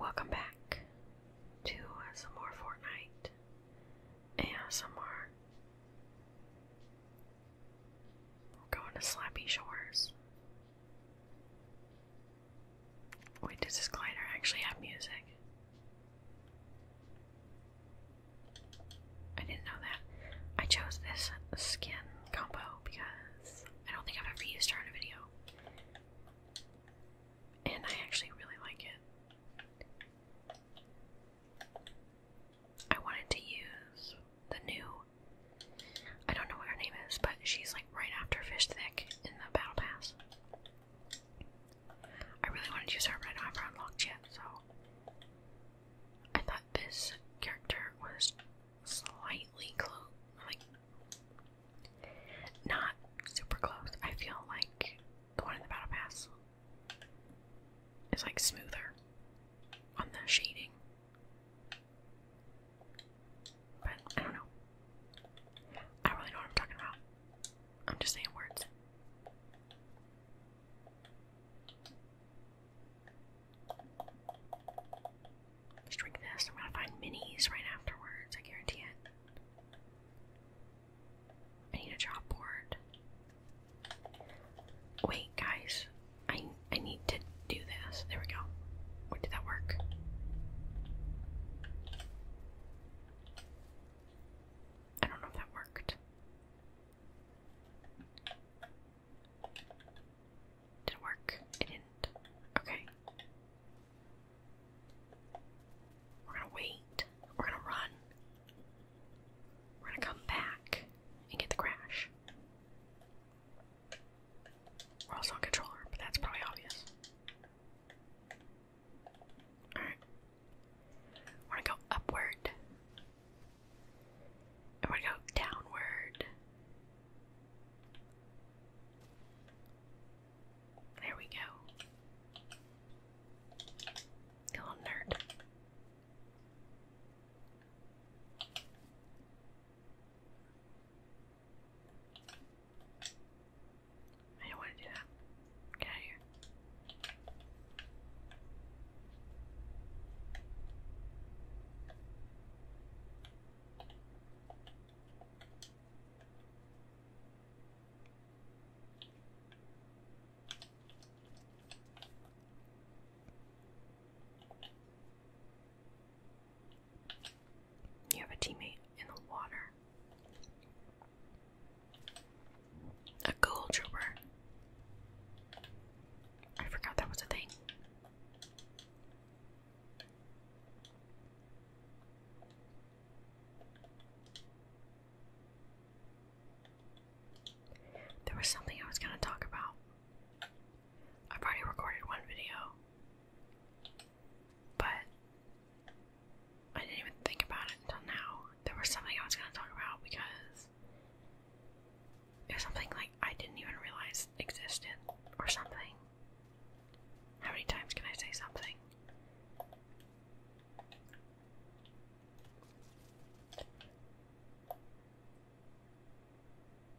Welcome back to some more Fortnite and some more. We're going to Slappy Shores. Wait, does this glider actually have music? I didn't know that. I chose this skin combo because I don't think I've ever used her in a video and I actually really like it. I wanted to use the new, I don't know what her name is, but she's like right after Fish Thick in the Battle Pass. I really wanted to use her, but I don't have unlocked yet, so. I thought this character was slightly close, like not super close. I feel like the one in the battle pass is like smoother on the shading. But I don't know. I really know what I'm talking about. I'm just saying words let drink this. I'm gonna find minis right afterwards, I guarantee it. I need a job Wait, guys. I I need to do this. There we go. What did that work? I don't know if that worked. Did it work? It didn't. Okay. We're gonna wait. We're gonna run. We're gonna come back and get the crash. We're also on controller, but that's probably obvious. We're gonna go upward. And we're gonna go downward. There we go. Go nerd. I don't want to do that. Get out here. You have a teammate in the water. A gold trooper. I forgot that was a thing. There was something I was going to talk about. I've already recorded one video, but I didn't even think about it until now. There was something I was going to talk about because there's something like I didn't even realize existed or something. How many times can I say something?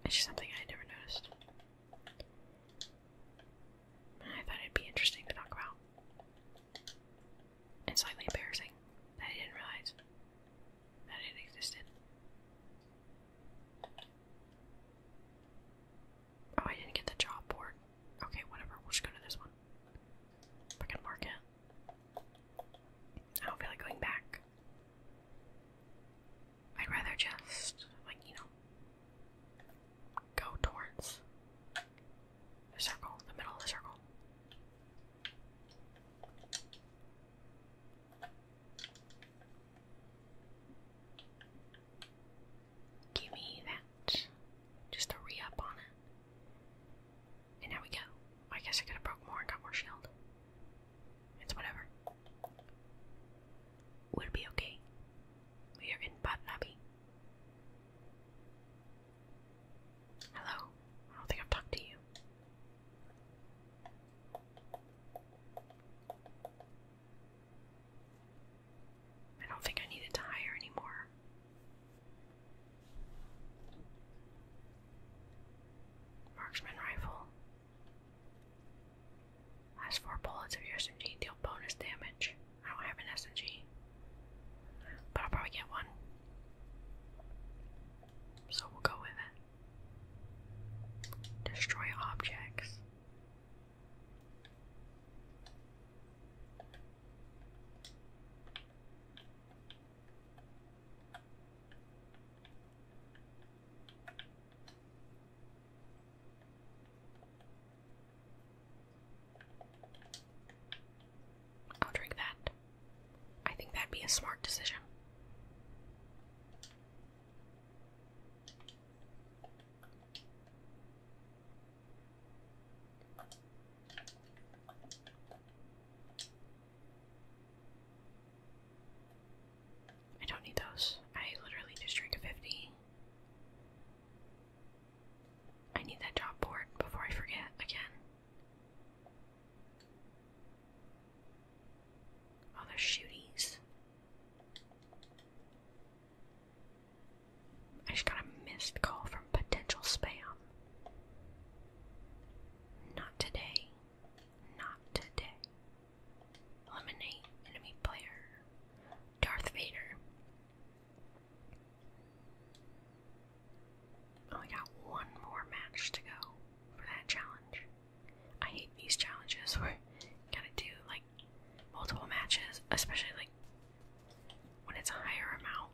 It's just something I never noticed. I thought it'd be interesting to talk about. And slightly embarrassing that I didn't realize that it existed. Oh, I didn't get the job board. Okay, whatever. We'll just go to this one. I can mark it. I don't feel like going back. I'd rather just, like, you know, go towards the circle, the middle of the circle give me that. Just a re up on it. And now we go. I guess I could have broke more and got more shield. It's whatever. We'll be okay. We are in Bot Abbey. Hello. I don't think I've talked to you. I don't think I needed to hire anymore. Marksman rifle. Last four bullets of your SMG deal bonus damage. I don't have an SMG, but I'll probably get one. So we'll go with it. Destroy objects. I'll drink that. I think that'd be a smart decision. I don't need those. I literally just drank a 50. I need that job board before I forget again. Oh, there's shooties. I just got a missed call from potential spam. Not today. Not today. Eliminate enemy player. Darth Vader. Only got one more match to go for that challenge. I hate these challenges where you gotta do like multiple matches, especially like when it's a higher amount.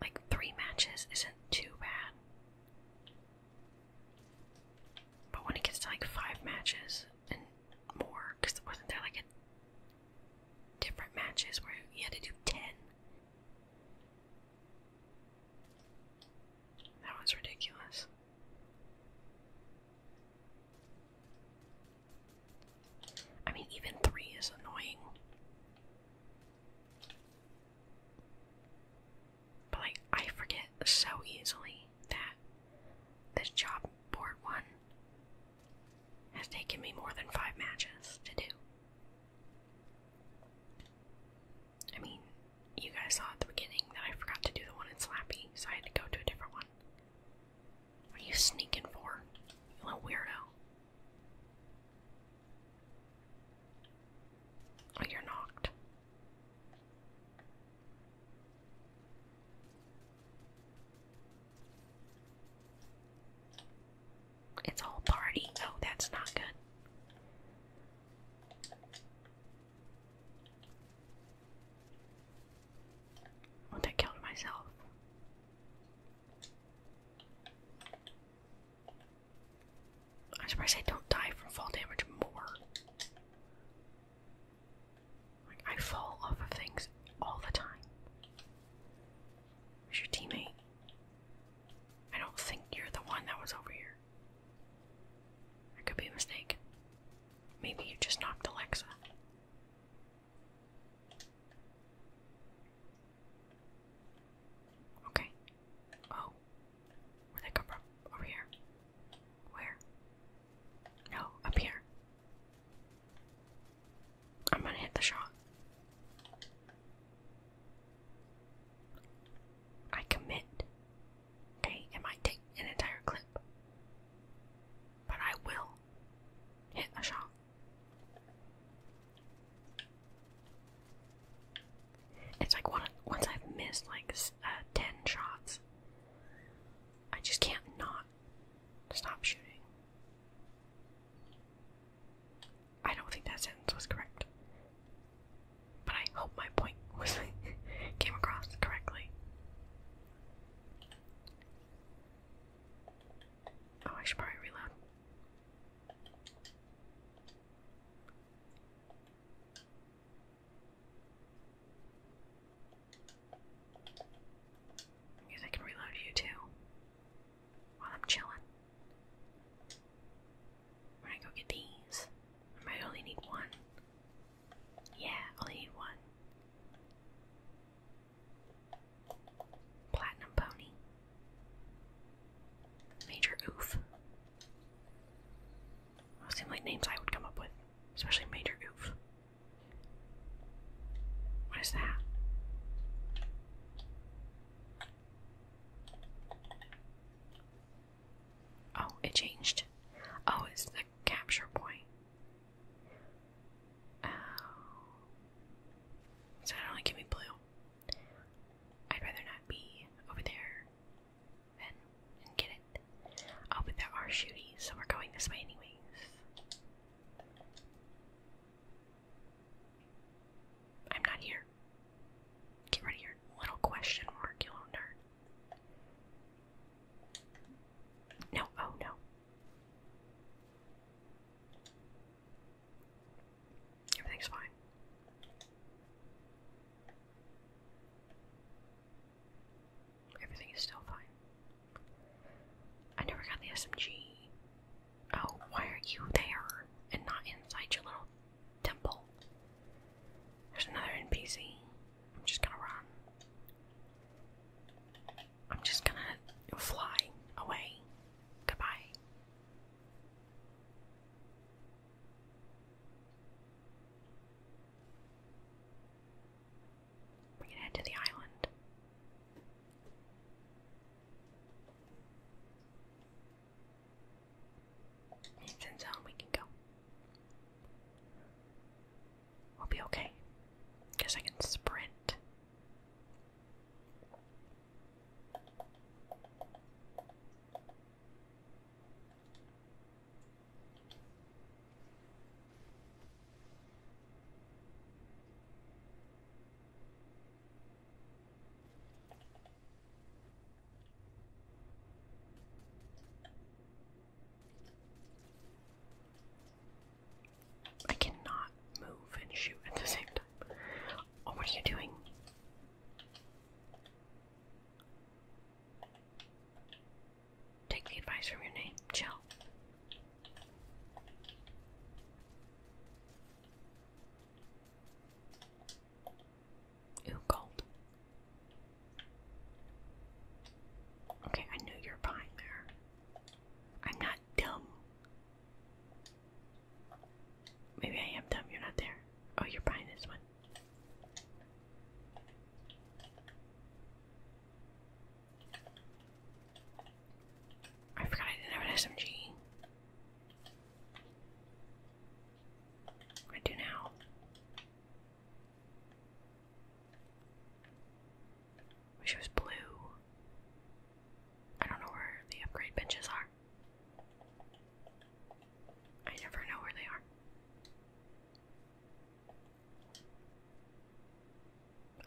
Like three matches isn't too bad. But when it gets to like five matches and more, because wasn't there like a different matches where you had to do ten? That was ridiculous. I mean, even three is annoying. But like, I forget so easily that this job board one has taken me more than five matches to do. I mean, you guys saw at the beginning that I forgot to do the one in Slappy, so I had to go to a different one. What are you sneaking for? You little weirdo. Oh, you're knocked. It's a party. Oh, that's not good. Would I killed myself? I'm surprised I don't die from fall damage more. I fall off of things all the time. Where's your teammate? I don't think you're the one that was over here. It could be a mistake. Maybe you just knocked Alexa. Okay. Oh. Where'd they come from? Over here. Where? No, up here. I'm gonna hit the shot. I commit. Okay, it might take an entire clip. But I will hit a shot. It's like one, once I've missed like uh, 10 shots, I just can't not stop shooting. I don't think that sentence was correct. But I hope my point was came across correctly. Oh, I should probably reload. I I can reload you too while I'm chilling. I'm go get these. I might only need one. Yeah, only one. Platinum pony. Major oof. Those seem like names I would come up with, especially Major oof. What is that? Oh, it changed. Oh, it's the capture point. Oh. So it only give me blue. I'd rather not be over there then and get it. Oh, but there are shooties, so we're going this way anyways. I'm not here. Get rid of your little question mark, you little nerd. No, oh no. Everything's fine. Everything is still fine. I never got the SMG. Oh, why are you there and not inside your little temple. There's another NPC. I'm just gonna run. I'm just gonna fly away. Goodbye. We can head to the island. It's in zone, we can go. We'll be okay. Guess I can sprint. I cannot move and shoot at the same time. Oh, what are you doing? Take the advice from your name, chill. Ooh, gold. Okay, I knew you were behind there. I'm not dumb. Maybe I am dumb, you're not there. Oh, you're behind this one. I forgot I didn't have an SMG. I do now. Wish it was blue. I don't know where the upgrade benches are. I never know where they are.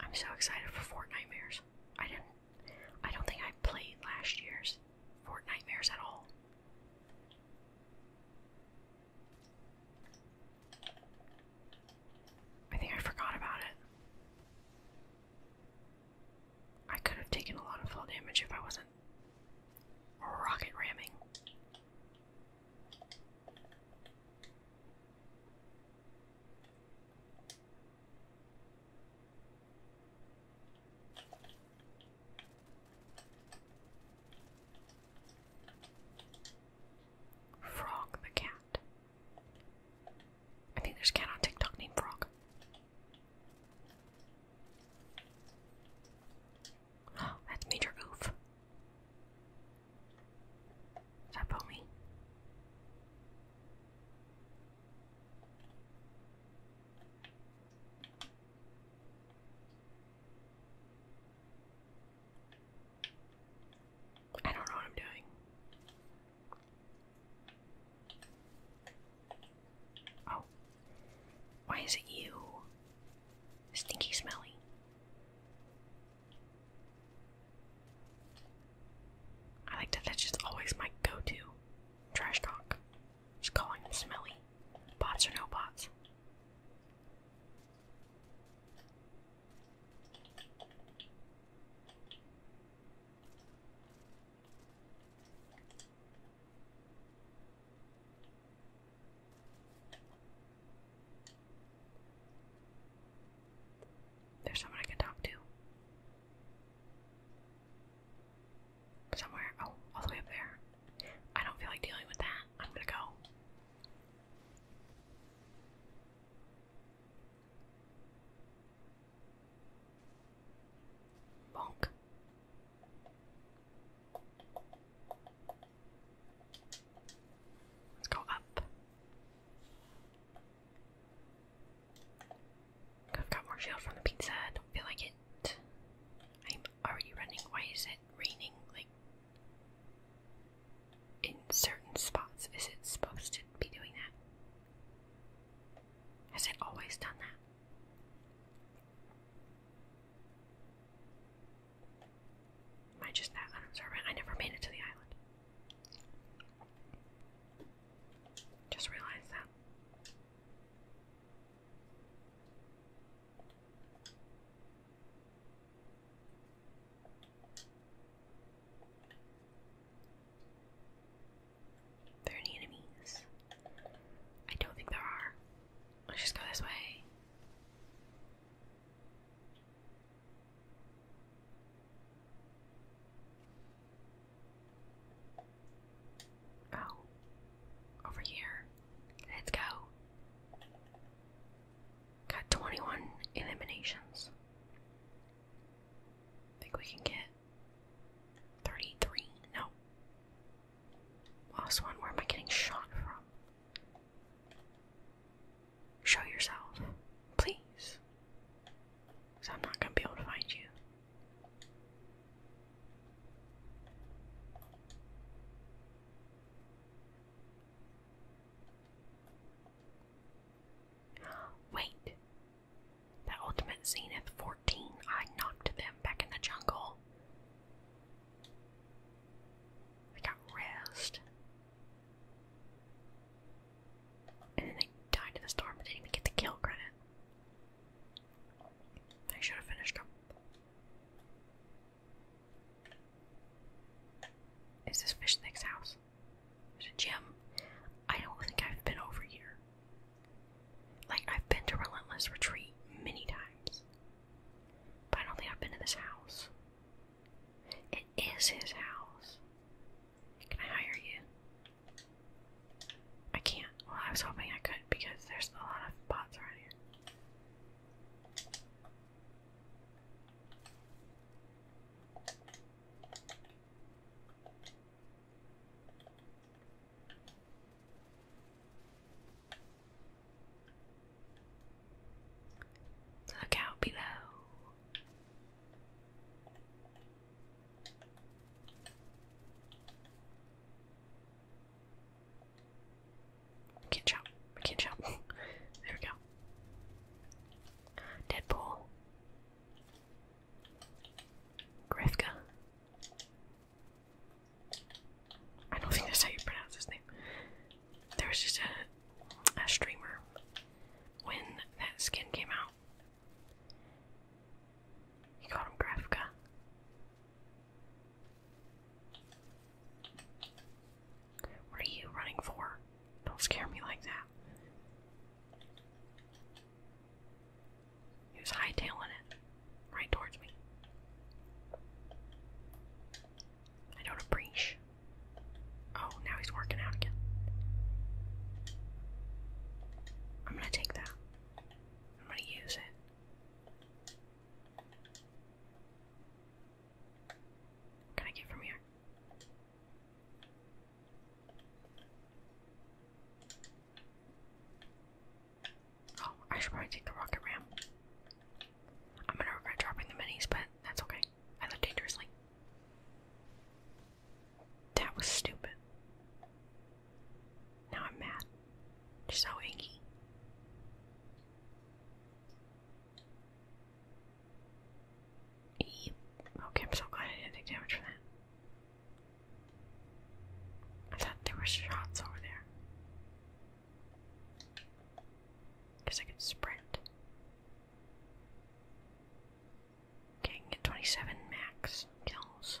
I'm so excited for Fortnite Mares. I didn't I don't think I played last year's Fortnite Mares at all. I think I forgot about it. I could have taken a lot of fall damage if I wasn't rocket ramming. Frog the cat. I think there's a cat on TikTok named Frog. that's Major Oof. Is that Pomi? I don't know what I'm doing. Oh. Why is it you? Stinky smelly. I like that that's just always my go to. Trash talk. Just calling them smelly. Bots or no bots. There's someone I can talk to. Somewhere. Oh, all the way up there. I don't feel like dealing with that. I'm gonna go. Bonk. Let's go up. I've got more shield from the pizza. I feel like it already running. Why is it raining like in certain spots? Is it supposed to be doing that? Has it always done that? Am I just that unobservant? I never made it to the island. Just realized that there any enemies? I don't think there are. Let's just go this way. Oh, over here. Let's go. Got 21 eliminations. Think we can get 33? No. Lost one. Where am I getting shot from? Show yourself, please. Because I'm not going to be able to find you. Wait! That ultimate Zenith 14, I knocked them back in the jungle. I got rest. And then they died to the storm but didn't even get the kill credit. I should have finished them. Is this Fish Snake's house? There's a gym. I don't think I've been over here. Like, I've been to Relentless Retreat many times. But I don't think I've been to this house. It is his house. Can I hire you? I can't. Well, I was hoping I could because there's a lot of bots around here. Look out below. I can't jump. I can't jump. there we go. Deadpool. Grifka. I don't think that's how you pronounce his name. There was just a, streamer when that skin came out. He called him Grafka. What are you running for? Don't scare me like that. He was hightailing it right towards me. I don't appreciate. Oh, now he's working out again. I'm gonna take that. I'm gonna use it can I get from here? Oh, I should probably take the rocket ram. I'm gonna regret dropping the minis, but that's okay. I live dangerously. That was stupid. Now I'm mad. You're so achy. Eep. Okay, I'm so glad I didn't take damage from that. I thought there were shots over there. Guess I could sprint. Okay, I can get 27 max kills.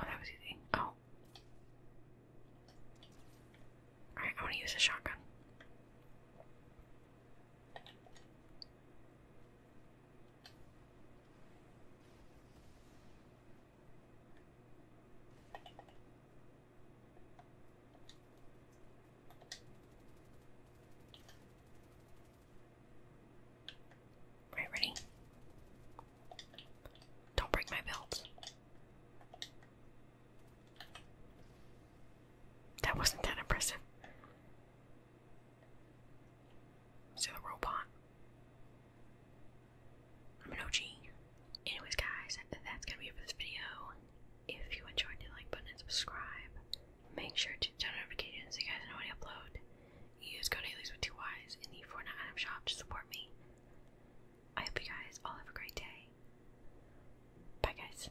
Oh, that was easy. Oh. Alright, I want to use a shotgun. Alright, ready? Don't break my belt. That wasn't that impressive. So robot. I'm an OG. Anyways guys, that's gonna be it for this video. If you enjoyed the like button and subscribe. Make sure to turn on notifications so you guys know when I upload. Use code Alias with two Y's in the Fortnite item shop to support me. I hope you guys all have a great day. Bye, guys.